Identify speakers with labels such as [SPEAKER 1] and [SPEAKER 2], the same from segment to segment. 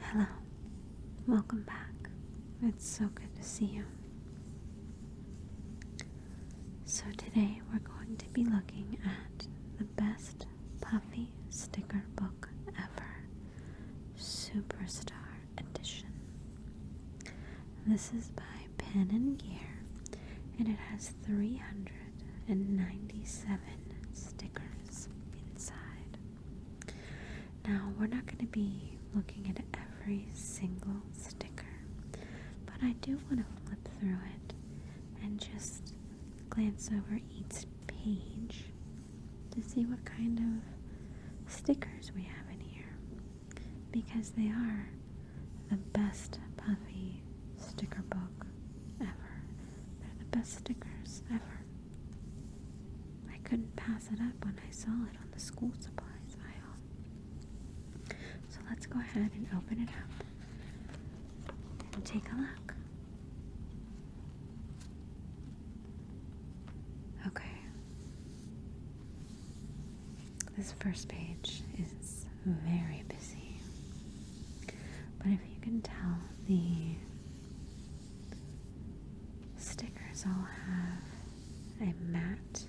[SPEAKER 1] Hello. Welcome back. It's so good to see you. So, today we're going to be looking at the best puffy sticker book ever Superstar Edition. This is by Pen and Gear, and it has 397 stickers inside. Now, we're not going to be looking at every single sticker, but I do want to flip through it and just glance over each page to see what kind of stickers we have in here because they are the best puffy sticker book ever. They're the best stickers ever. I couldn't pass it up when I saw it on the school supplies aisle. So let's go ahead and open it up and take a look. Okay. This first page is very busy. But if you can tell, the stickers all have a matte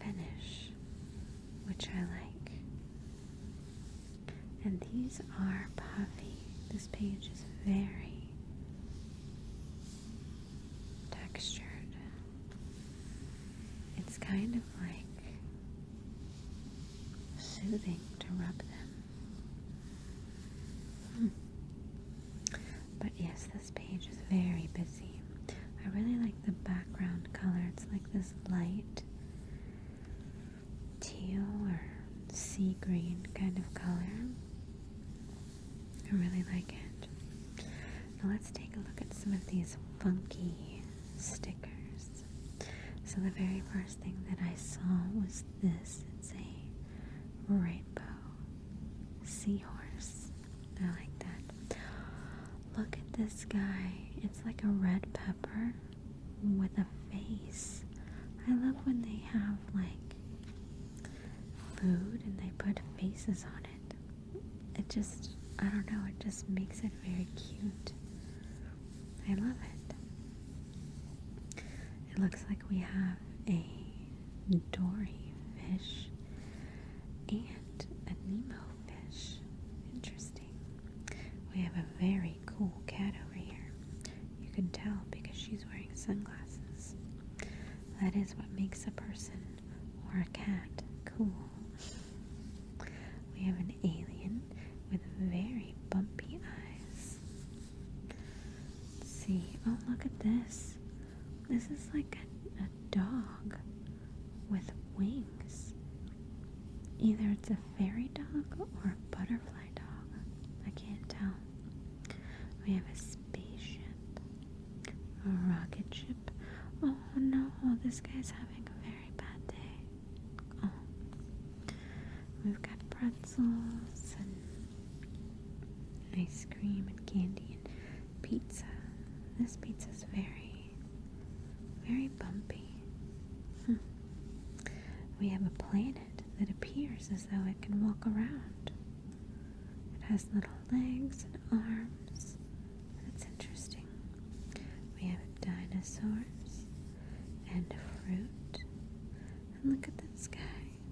[SPEAKER 1] finish, which I like. And these are puffy. This page is very textured. It's kind of like soothing to rub them. Hmm. But yes, this page is very busy. I really like the background color. It's like this light teal or sea green kind of color. I really like it. Now let's take a look at some of these funky stickers. So the very first thing that I saw was this. It's a rainbow seahorse. I like that. Look at this guy. It's like a red pepper with a face. I love when they have like food and they put faces on it it just, I don't know, it just makes it very cute. I love it. It looks like we have a dory fish and a Nemo fish. Interesting. We have a very cool cat over here. You can tell because she's wearing sunglasses. That is what makes a person or a cat. Cool. We have an alien with very bumpy eyes. see. Oh, look at this. This is like a, dog with wings. Either it's a fairy dog or a butterfly dog. I can't tell. We have a spaceship, a rocket ship. Oh no, this guy's having a very very bad day. Oh. We've got pretzels and ice cream and candy and pizza. This pizza's very, very bumpy. Hmm. We have a planet that appears as though it can walk around. It has little legs and arms. That's interesting. We have dinosaurs and fruit. And look at this guy.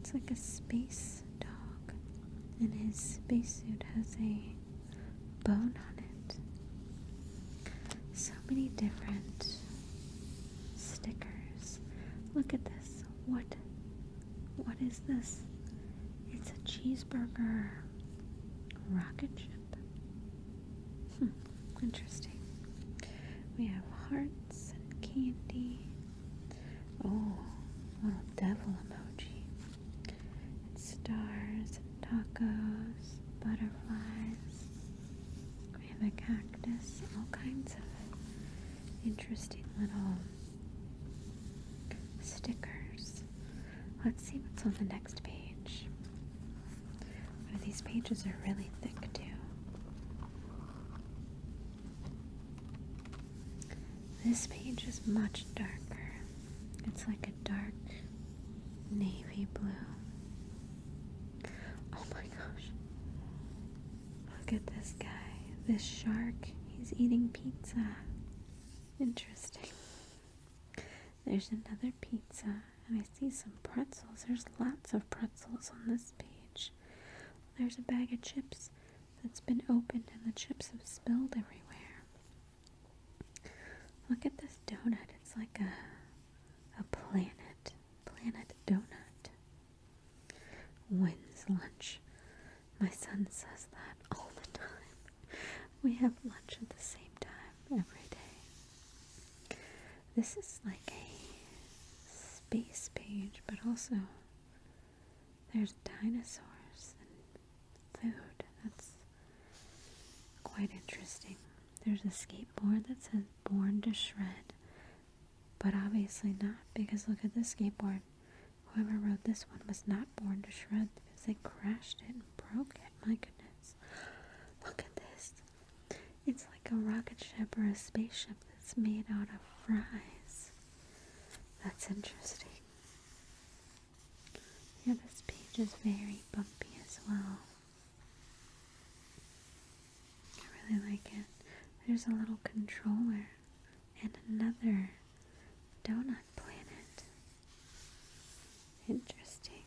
[SPEAKER 1] It's like a space dog. And his spacesuit has a bone on it. So many different stickers. Look at this. What what is this? It's a cheeseburger rocket ship. Hmm, interesting. We have hearts and candy. Oh, little devil emoji. And stars and tacos, butterflies. We have a cactus, all kinds of interesting little stickers. Let's see what's on the next page. these pages are really thick, too. This page is much darker. It's like a dark navy blue. Oh my gosh. Look at this guy. This shark. He's eating pizza. Interesting. There's another pizza, and I see some pretzels. There's lots of pretzels on this page. There's a bag of chips that's been opened, and the chips have spilled everywhere. Look at this donut. It's like a a planet, planet donut. Wins lunch? My son says that all the time. We have lunch at the same time every day. This is like a space page, but also there's dinosaurs and food. That's quite interesting. There's a skateboard that says Born to Shred, but obviously not because look at this skateboard. Whoever wrote this one was not born to shred because they crashed it and broke it. My goodness. Look at this. It's like a rocket ship or a spaceship that's made out of fries. That's interesting. Yeah, this page is very bumpy as well. I really like it. There's a little controller and another donut planet. Interesting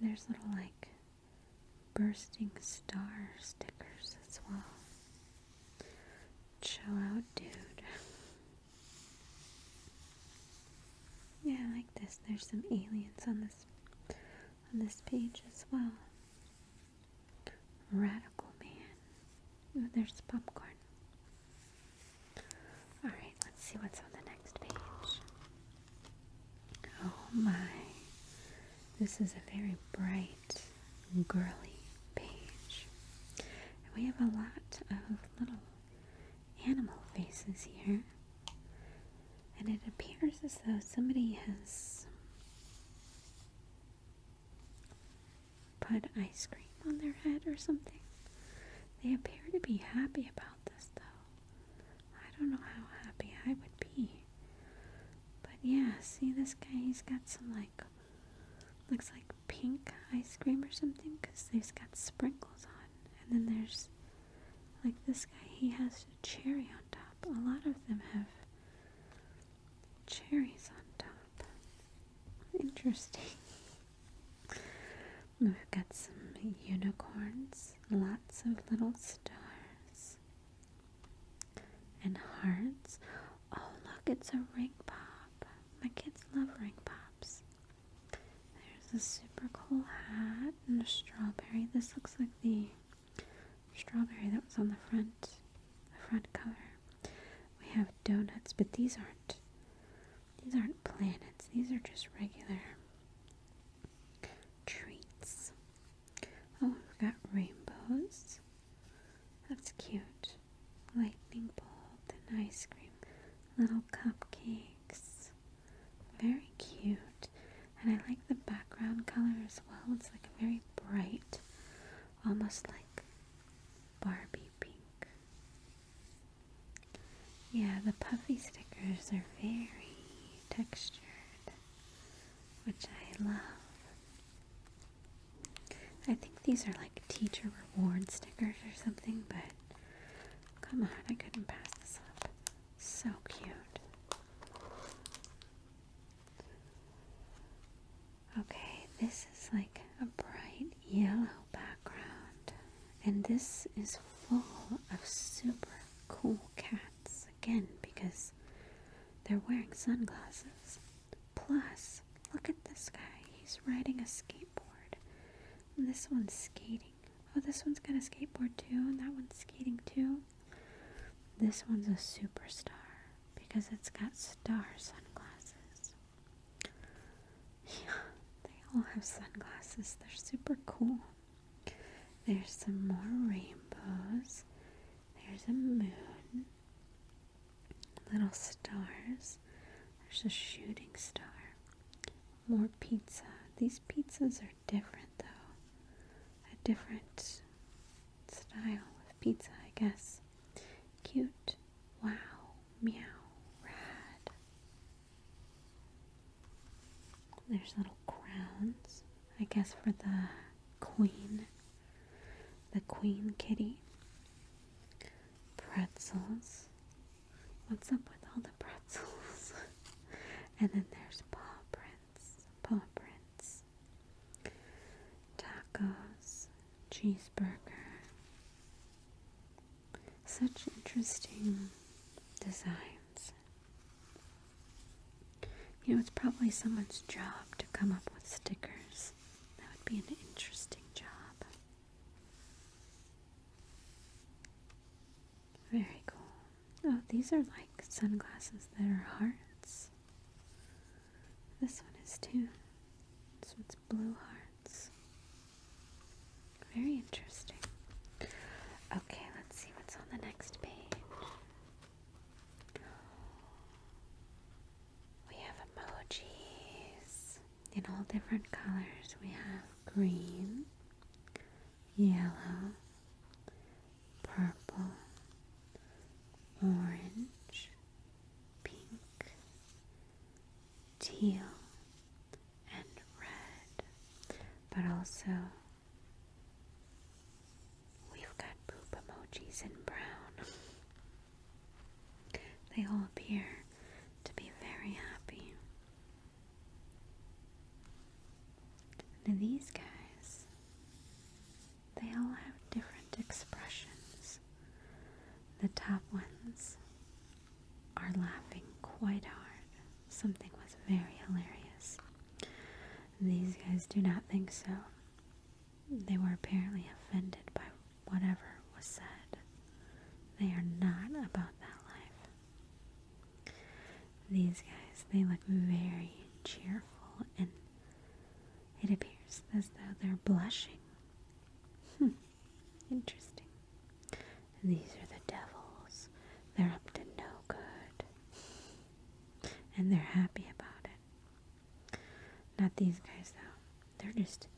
[SPEAKER 1] there's little like bursting star stickers as well. Chill out, dude. Yeah, I like this. There's some aliens on this on this page as well. Radical man. Oh, there's popcorn. Alright, let's see what's on the next page. Oh my. This is a very bright, girly page. And we have a lot of little animal faces here. And it appears as though somebody has put ice cream on their head or something. They appear to be happy about this though. I don't know how happy I would be. But yeah, see this guy, he's got some like, looks like pink ice cream or something because he's got sprinkles on. And then there's like this guy, he has a cherry on top. A lot of them have cherries on top. Interesting. We've got some unicorns, lots of little stars, and hearts. Oh, look, it's a ring pop. My kids love ring pops. There's a super cool hat and a strawberry. This looks like the strawberry that was on the front, the front cover. We have donuts, but these aren't these aren't planets, these are just regular treats. Oh, we've got rainbows. That's cute. Lightning bolt and ice cream. Little cupcakes. Very cute. And I like the background color as well. It's like a very bright, almost like Barbie pink. Yeah, the puffy stickers are very textured, which I love. I think these are like teacher reward stickers or something, but come on, I couldn't pass this up. So cute. Okay, this is like a bright yellow background. And this is full of super cool cats again because they're wearing sunglasses. Plus, look at this guy. He's riding a skateboard. this one's skating. Oh, this one's got a skateboard too, and that one's skating too. This one's a superstar because it's got star sunglasses. Yeah, they all have sunglasses. They're super cool. There's some more rainbows. There's a moon. Little stars. There's a shooting star. More pizza. These pizzas are different though. A different style of pizza, I guess. Cute. Wow. Meow. Rad. There's little crowns, I guess, for the queen, the queen kitty. Pretzels. What's up with all the pretzels? and then there's paw prints, paw prints, tacos, cheeseburger, such interesting designs. You know, it's probably someone's job to come up with stickers. That would be an interesting job. Very cool. Oh, these are like sunglasses that are hearts. This one is too. This one's blue hearts. Very interesting. Okay, let's see what's on the next page. We have emojis in all different colors. We have green, yellow, purple, orange, pink, teal, and red, but also we've got poop emojis in brown. They all appear to be very happy. these guys, they all have different expressions. The top ones are laughing quite hard. Something was very hilarious. These guys do not think so. They were apparently offended by whatever was said. They are not about that life. These guys, they look very cheerful and it appears as though they're blushing. Hmm, interesting. These are the devils. They're up to no good. And they're happy about it. Not these guys, though. They're just,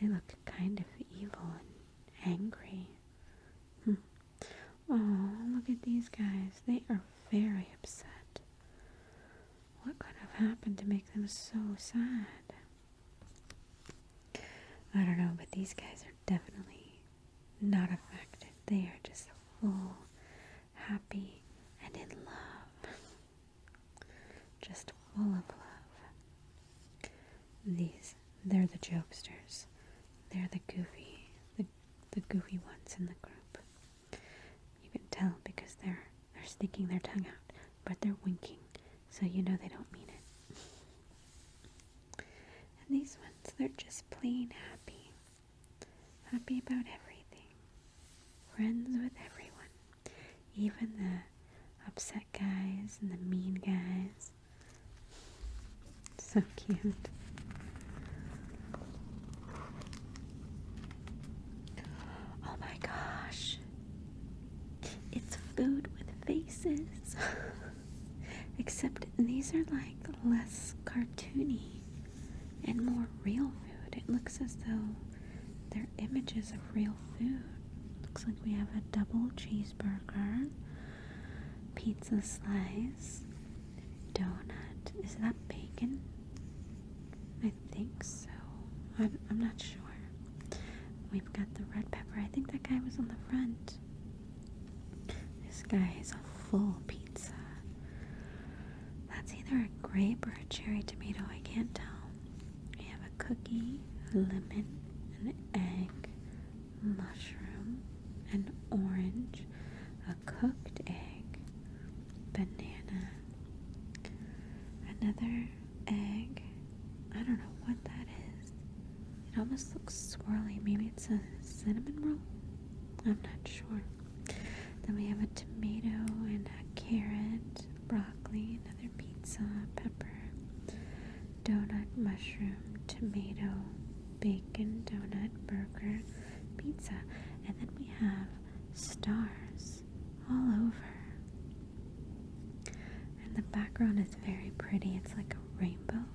[SPEAKER 1] they look kind of evil and angry. Hmm. Oh, look at these guys. They are very upset. What could have happened to make them so sad? I don't know, but these guys are definitely not affected. They are just full, happy, and in love. Just full of love. These, they're the jokesters. They're the goofy, the, the goofy ones in the group. You can tell because they're, they're sticking their tongue out, but they're winking, so you know they don't mean it. And these ones, they're just plain happy. Happy about everything. Friends with everyone. Even the upset guys and the mean guys. So cute. Oh my gosh. It's food with faces. Except these are like less cartoony and more real food. It looks as though they're images of real food. Looks like we have a double cheeseburger, pizza slice, donut. Is that bacon? I think so. I'm, I'm not sure. We've got the red pepper. I think that guy was on the front. This guy is a full pizza. That's either a grape or a cherry tomato, I can't tell. We have a cookie, a lemon, an egg, mushroom, an orange, a cooked egg, banana, another egg. I don't know what that is. It almost looks swirly. Maybe it's a cinnamon roll? I'm not sure. Then we have a tomato and a carrot, broccoli, another pizza, pepper, donut, mushroom, tomato, bacon, donut, burger, pizza. And then we have stars all over. And the background is very pretty. It's like a rainbow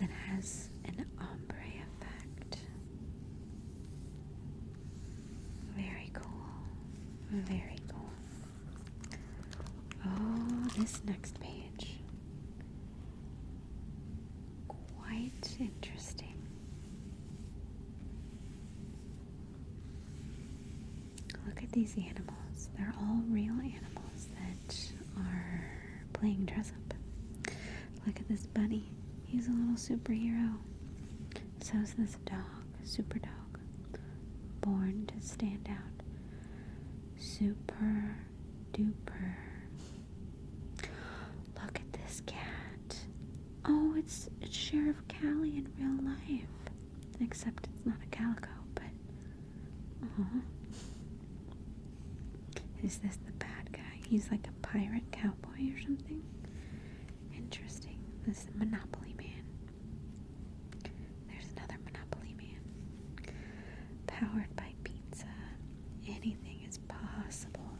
[SPEAKER 1] that has an ombre effect. Very cool. Very cool. Oh, this next page. Quite interesting. Look at these animals. They're all real animals that are playing dress up. Look at this bunny. He's a little superhero. So's this dog, super dog. Born to stand out. Super duper. Look at this cat. Oh, it's, it's Sheriff Callie in real life. Except it's not a calico, but uh-huh. Is this the bad guy? He's like a pirate cowboy or something? Interesting. This is Monopoly Man. There's another Monopoly Man. Powered by pizza. Anything is possible.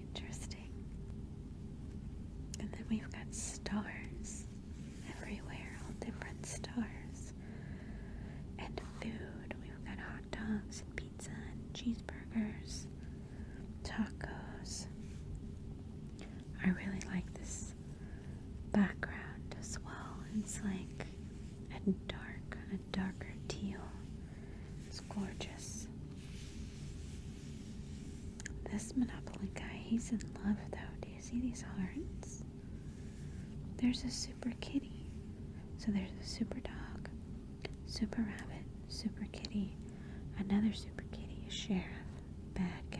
[SPEAKER 1] Interesting. And then we've got stars everywhere, all different stars. And food. We've got hot dogs and pizza and cheeseburgers, tacos. I really like this background as well. It's like a dark, kind darker teal. It's gorgeous. This Monopoly guy, he's in love though. Do you see these hearts? There's a super kitty. So there's a super dog, super rabbit, super kitty, another super kitty, is sheriff, bad guy.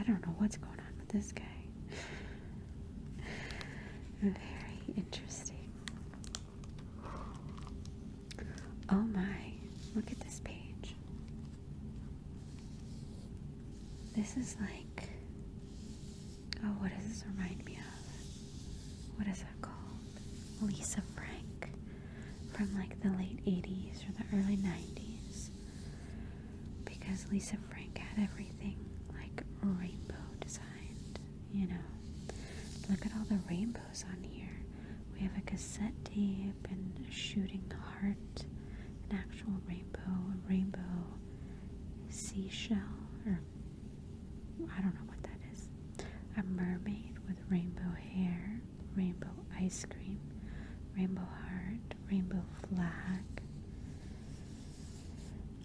[SPEAKER 1] I don't know what's going on with this guy. Very interesting. Oh my, look at this page. This is like, oh, what does this remind me of? What is that called? Lisa Frank from like the late 80s or the early 90s. Because Lisa Frank had everything like rainbow designed, you know. Look at all the rainbows on here. We have a cassette tape and a shooting heart an actual rainbow, a rainbow seashell, or I don't know what that is. A mermaid with rainbow hair, rainbow ice cream, rainbow heart, rainbow flag.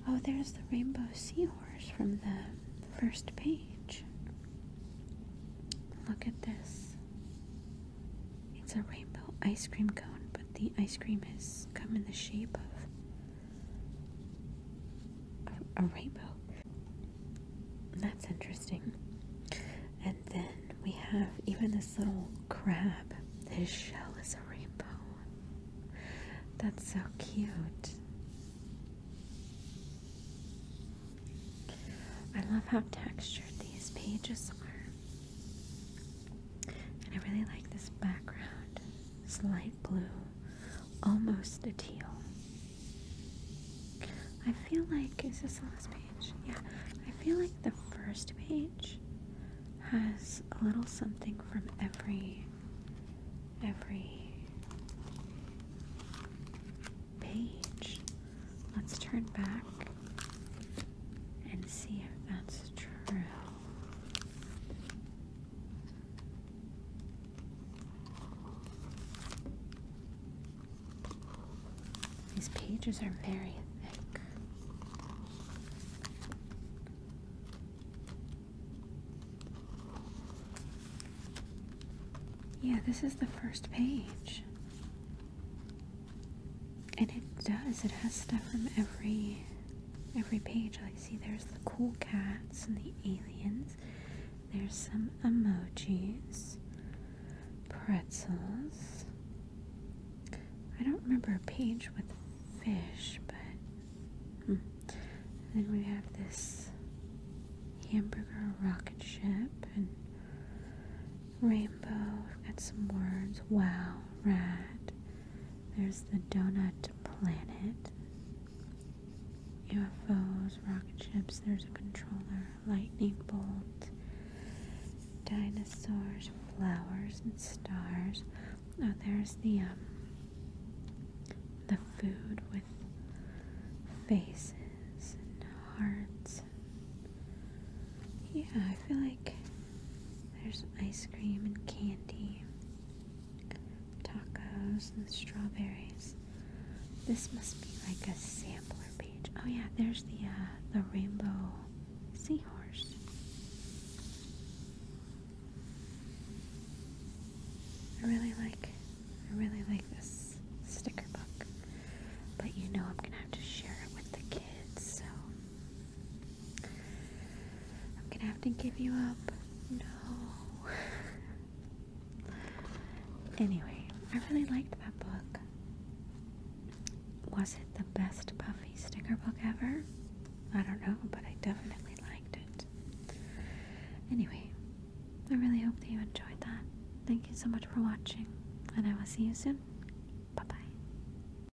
[SPEAKER 1] Oh, there's the rainbow seahorse from the first page. Look at this. It's a rainbow ice cream cone, but the ice cream has come in the shape of a, rainbow. That's interesting. And then we have even this little crab. His shell is a rainbow. That's so cute. I love how textured these pages are. I really like this background. It's light blue, almost a teal. I feel like, is this the last page? Yeah, I feel like the first page has a little something from every, every page. Let's turn back and see if that's true. These pages are very thick. Yeah, this is the first page. And it does. It has stuff from every every page. I see there's the cool cats and the aliens. There's some emojis. Pretzels. I don't remember a page with fish, but hmm. then we have this hamburger rocket ship and rainbow. We've got some words. Wow, rad. There's the donut planet. UFOs, rocket ships, there's a controller, lightning bolt, dinosaurs, flowers, and stars. Now oh, there's the um, the food with faces and hearts. Yeah, I feel like there's ice cream and candy, tacos and strawberries. This must be like a sampler page. Oh yeah, there's the uh, the rainbow seahorse. I really like I really like this sticker book. But you know I'm gonna have to share it with the kids, so I'm gonna have to give you up. No. anyway, I really liked that book. Was it the best Puffy sticker book ever? I don't know, but I definitely liked it. Anyway, I really hope that you enjoyed that. Thank you so much for watching, and I will see you soon. Bye bye.